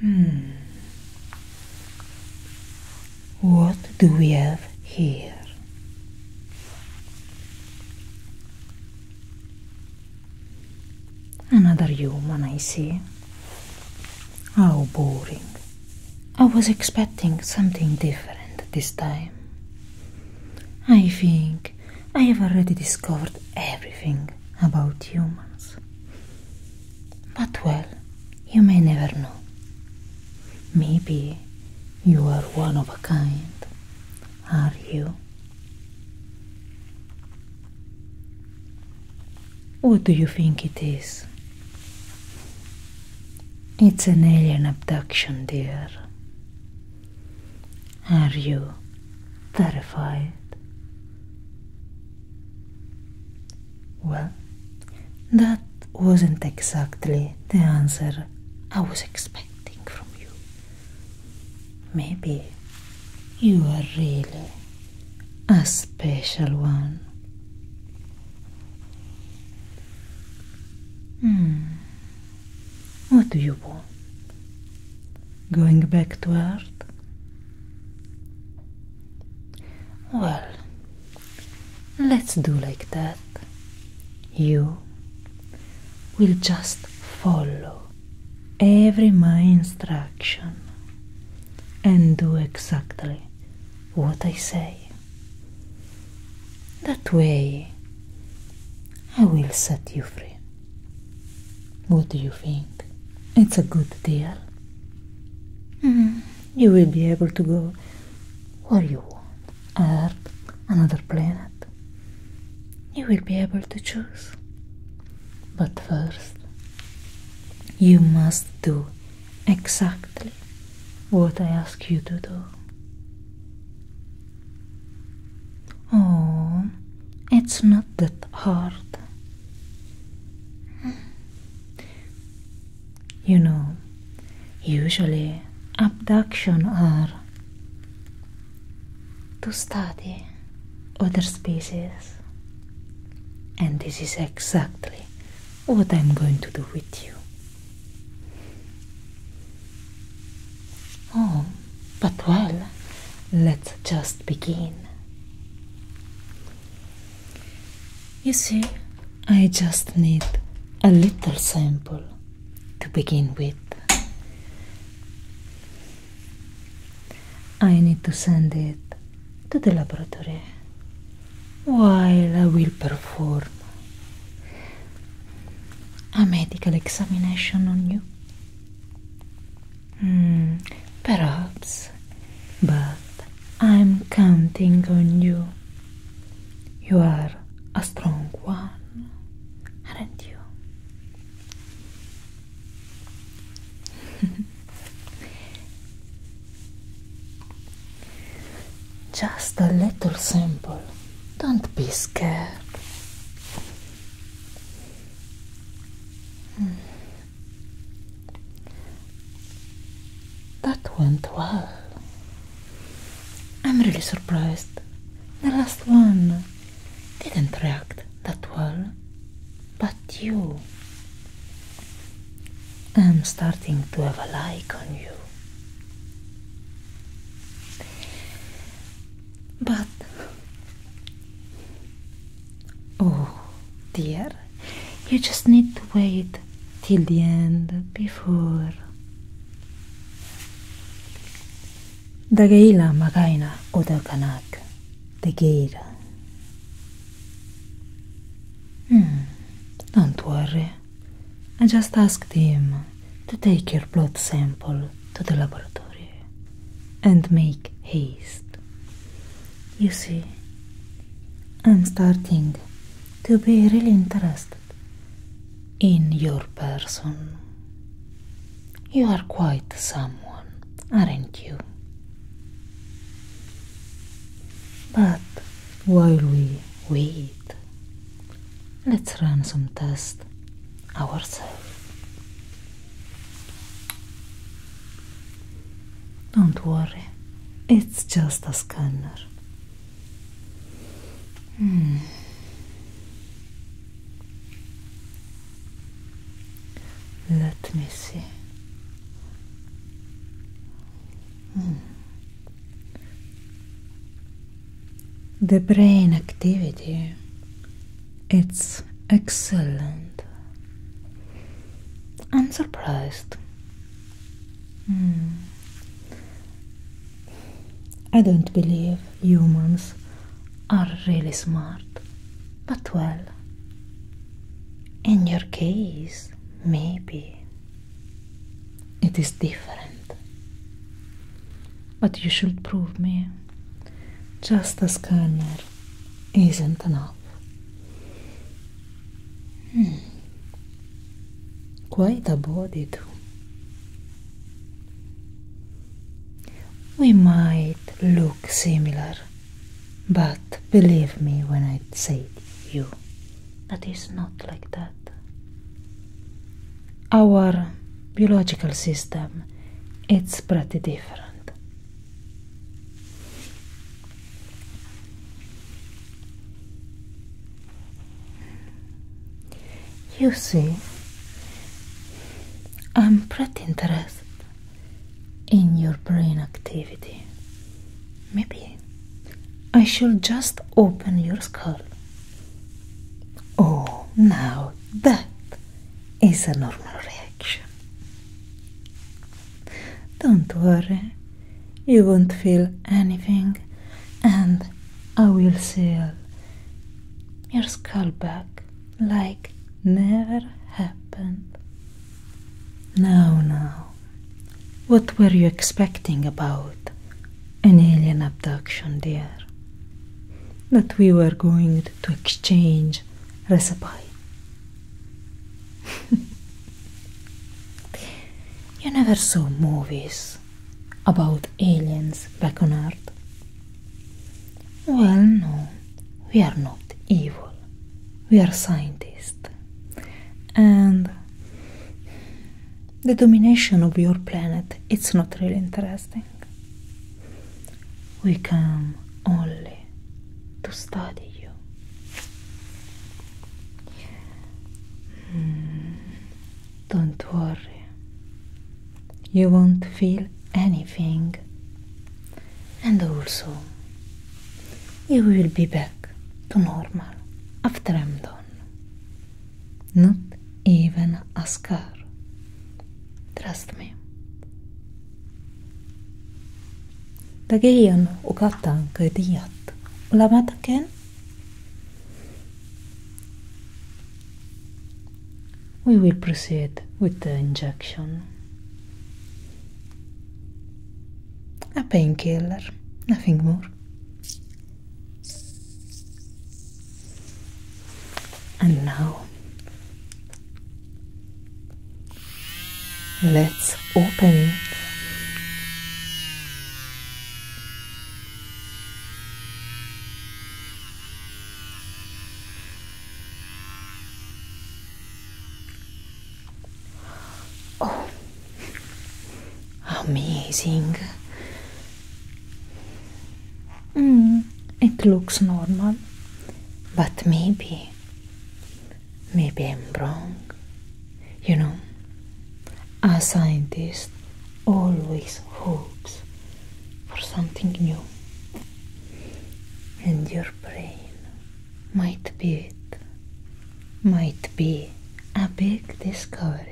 Hmm. What do we have here? Another human, I see. How boring. I was expecting something different this time. I think I have already discovered everything about humans. But well, you may never know. Maybe you are one of a kind, are you? What do you think it is? It's an alien abduction, dear. Are you terrified? Well, that wasn't exactly the answer I was expecting from you. Maybe you are really a special one. Hmm. What do you want? Going back to Earth? Well, let's do like that. You will just follow every my instruction and do exactly what I say. That way I will set you free. What do you think? It's a good deal. Mm-hmm. you will be able to go where you want Earth, another planet. You will be able to choose. But first, you must do exactly what I ask you to do. Oh, it's not that hard. You know, usually abduction are to study other species. And this is exactly what I'm going to do with you. Oh, but well, let's just begin. You see, I just need a little sample to begin with. I need to send it to the laboratory while I will perform a medical examination on you? Hmm, perhaps, but I'm counting on you. You are a strong one, aren't you? Just a little simple. Don't be scared. Hmm. That went well. I'm really surprised. The last one didn't react that well, but you. I'm starting to have a like on you. But oh dear, you just need to wait till the end before. Dagaila magaina odakanak degeira. Hmm, don't worry. I just asked him to take your blood sample to the laboratory and make haste. You see, I'm starting to be really interested in your person. You are quite someone, aren't you? But while we Wait, let's run some tests ourselves. Don't worry, it's just a scanner. Hmm. Let me see. Hmm. The brain activity it's excellent. I'm hmm. surprised. I don't believe humans are really smart, but well, in your case, maybe. It is different. But you should prove me just as Kerner isn't enough. Hmm. Quite a body, too. We might look similar, but believe me when I say you that is not like that. Our biological system it's pretty different. You see, I'm pretty interested in your brain activity. Maybe I shall just open your skull. Oh, now that is a normal reaction. Don't worry, you won't feel anything, and I will seal your skull back like never happened. Now, now, what were you expecting about an alien abduction there, that we were going to exchange recipe. you never saw movies about aliens back on Earth. Well, no, we are not evil. We are scientists. And the domination of your planet it's not really interesting we come only to study you hmm, don't worry you won't feel anything and also you will be back to normal after i'm done not even a scar. Trust me. Dagian ugatang kadiat. Ulamataken? We will proceed with the injection. A painkiller, nothing more. And now, let's open it. Oh, Amazing. Hmm, it looks normal, but maybe, maybe I'm wrong. You know, a scientist always hopes for something new, and your brain might be it might be a big discovery.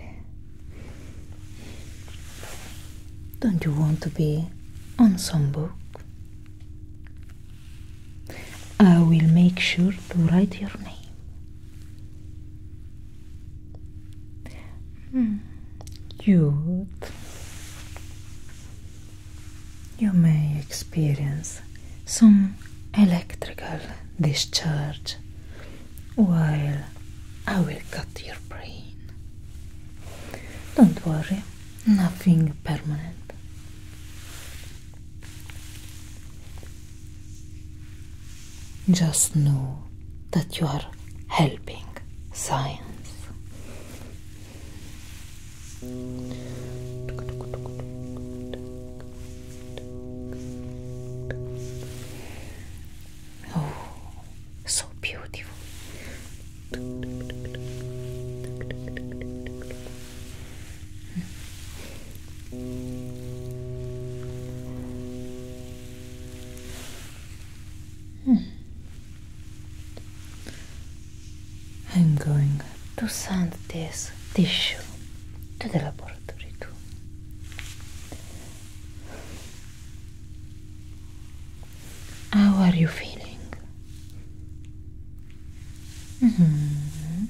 Don't you want to be on some book? I will make sure to write your name. Hmm. Cute. You may experience some electrical discharge while I will cut your brain. Don't worry, nothing permanent. Just know that you are helping science. Oh, so beautiful. Hmm. Hmm. I'm going to send this tissue to the laboratory. How are you feeling? Mm-hmm.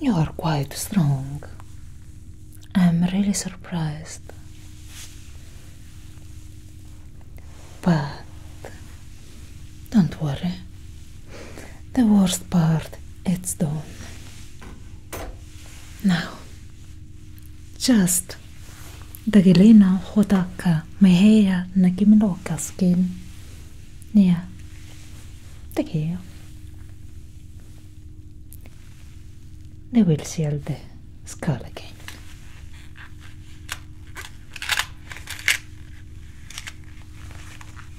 You are quite strong. I'm really surprised. But don't worry, the worst part, it's done. Now, just dagilina hodaka mehea nagimiloka skin. Yeah, take care. They will seal the skull again.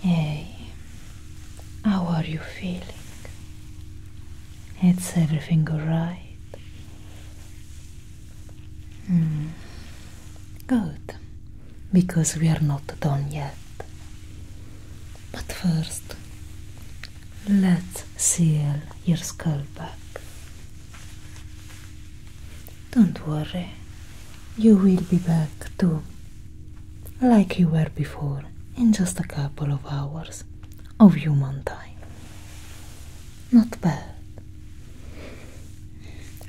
Hey, how are you feeling? It's everything alright? Mm. Good, because we are not done yet. But first, let's seal your skull back don't worry, you will be back too, like you were before, in just a couple of hours of human time. Not bad.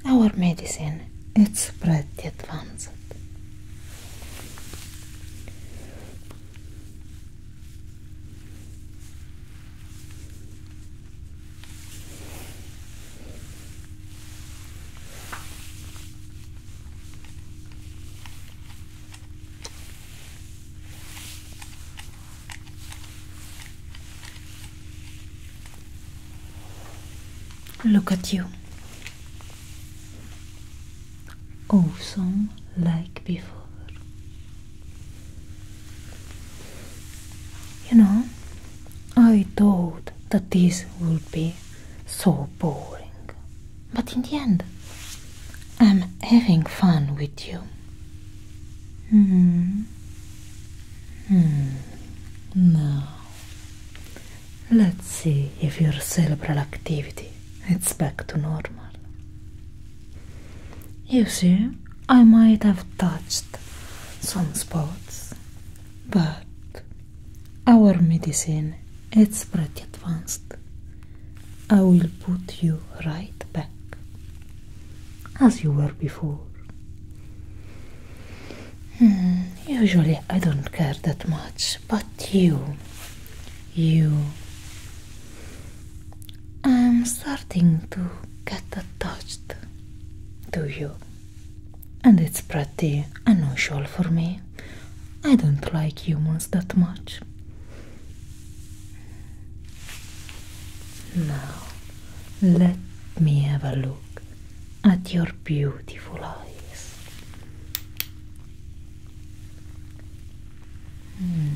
Our medicine it's pretty advanced. Look at you. Awesome like before. You know, I thought that this would be so boring, but in the end, I'm having fun with you. Hmm. Hmm. Now, let's see if your cerebral activity is back to normal. You see, I might have touched some spots, but our medicine it's pretty advanced. I will put you right back as you were before. Hmm, usually I don't care that much, but you, you, I'm starting to get attached to you, and it's pretty unusual for me. I don't like humans that much. Now, let me have a look at your beautiful eyes. Hmm.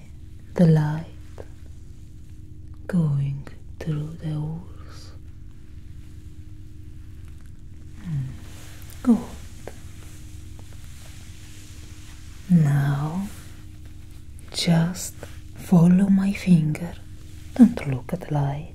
the light going through the holes. Hmm, good. Now just follow my finger. Don't look at the light.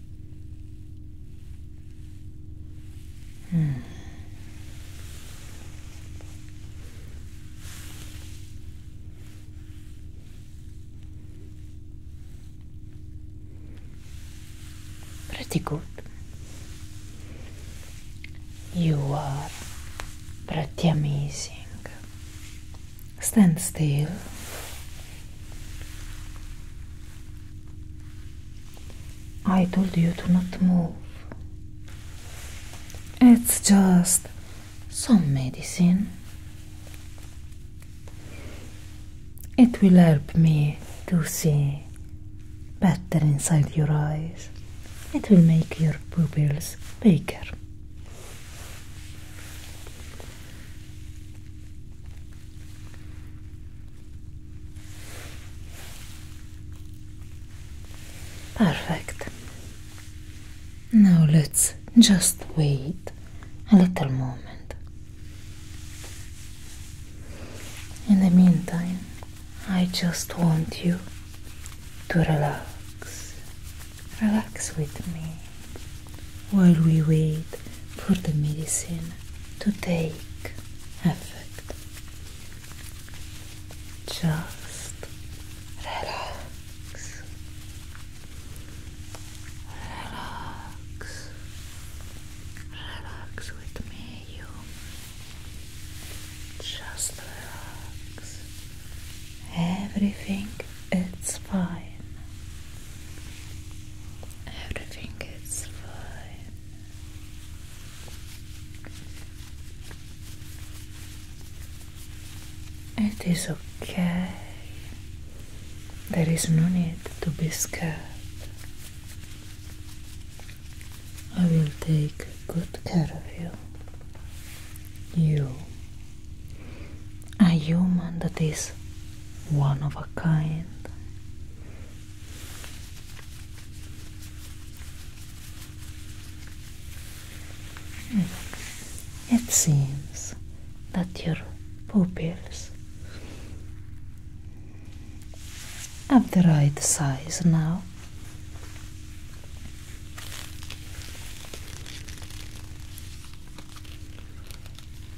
Hmm. Pretty good. You are pretty amazing. Stand still. I told you to not move. It's just some medicine. It will help me to see better inside your eyes. It will make your pupils bigger. Perfect. Now let's just wait a little moment. In the meantime, I just want you to relax. Relax with me while we wait for the medicine to take effect. Just relax. Relax. Relax with me, you. Just relax. Everything is fine. Everything is fine. It is okay. There is no need to be scared. I will take good care of you. You, a human that is one of a kind, Hmm. It seems that your pupils have the right size now.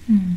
Hmm.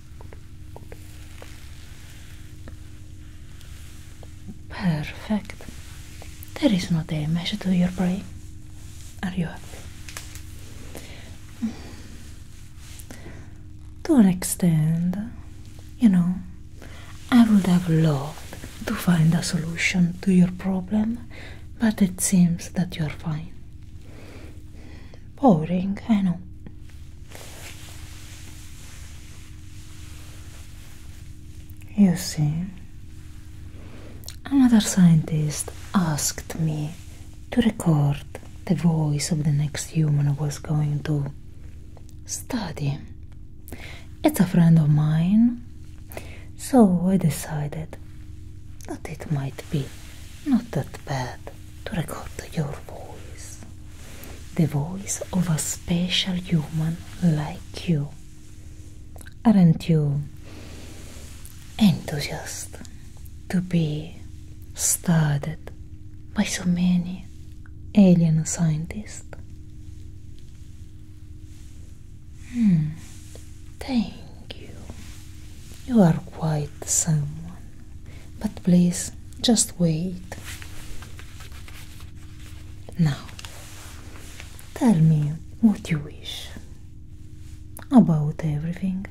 Perfect. There is not a measure to your brain. Are you happy? Don't extend. you know, I would have loved to find a solution to your problem, but it seems that you are fine. Boring, I know. You see, another scientist asked me to record the voice of the next human I was going to study. It's a friend of mine, so I decided that it might be not that bad to record your voice, the voice of a special human like you. Aren't you enthusiastic to be studied by so many alien scientists? Hmm, thank you. You are quite someone. But please, just wait. Now, tell me what you wish about everything.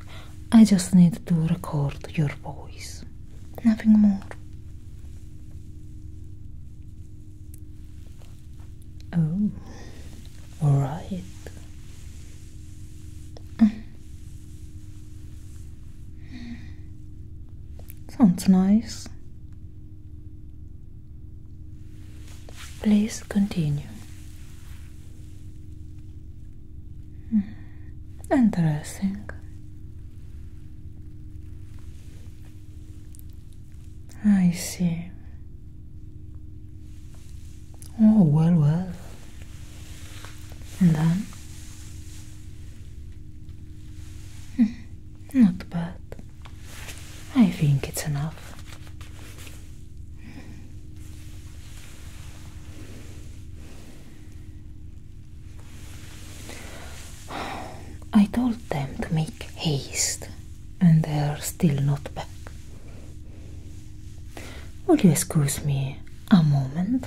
I just need to record your voice, nothing more. Oh, all right. Mm. Sounds nice. Please continue. Hmm. Interesting. I see. Oh, well, well. And then? Hmm, not bad. I think it's enough. I told them to make haste, and they are still not back. Will you excuse me a moment?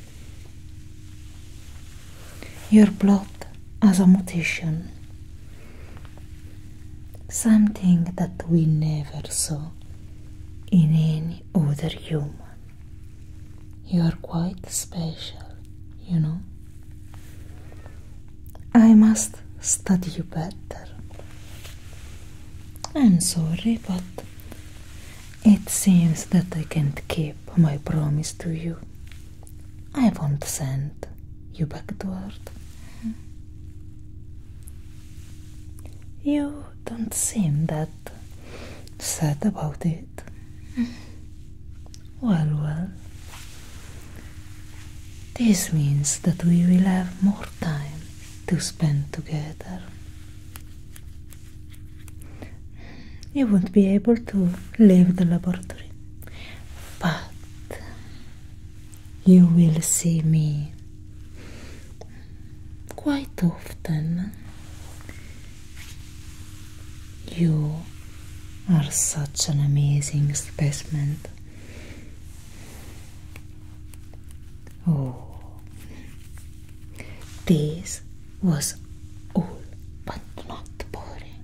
Your blood as a mutation, something that we never saw in any other human. You are quite special, you know. I must study you better. I'm sorry, but it seems that I can't keep my promise to you. I won't send you back to Earth. You don't seem that sad about it. Well, well. This means that we will have more time to spend together you won't be able to leave the laboratory, but you will see me quite often. You are such an amazing specimen. Oh, this was all but not boring.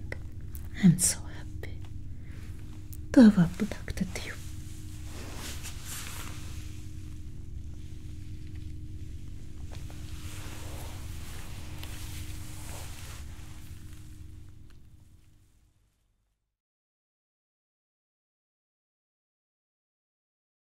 I'm so happy to have abducted you.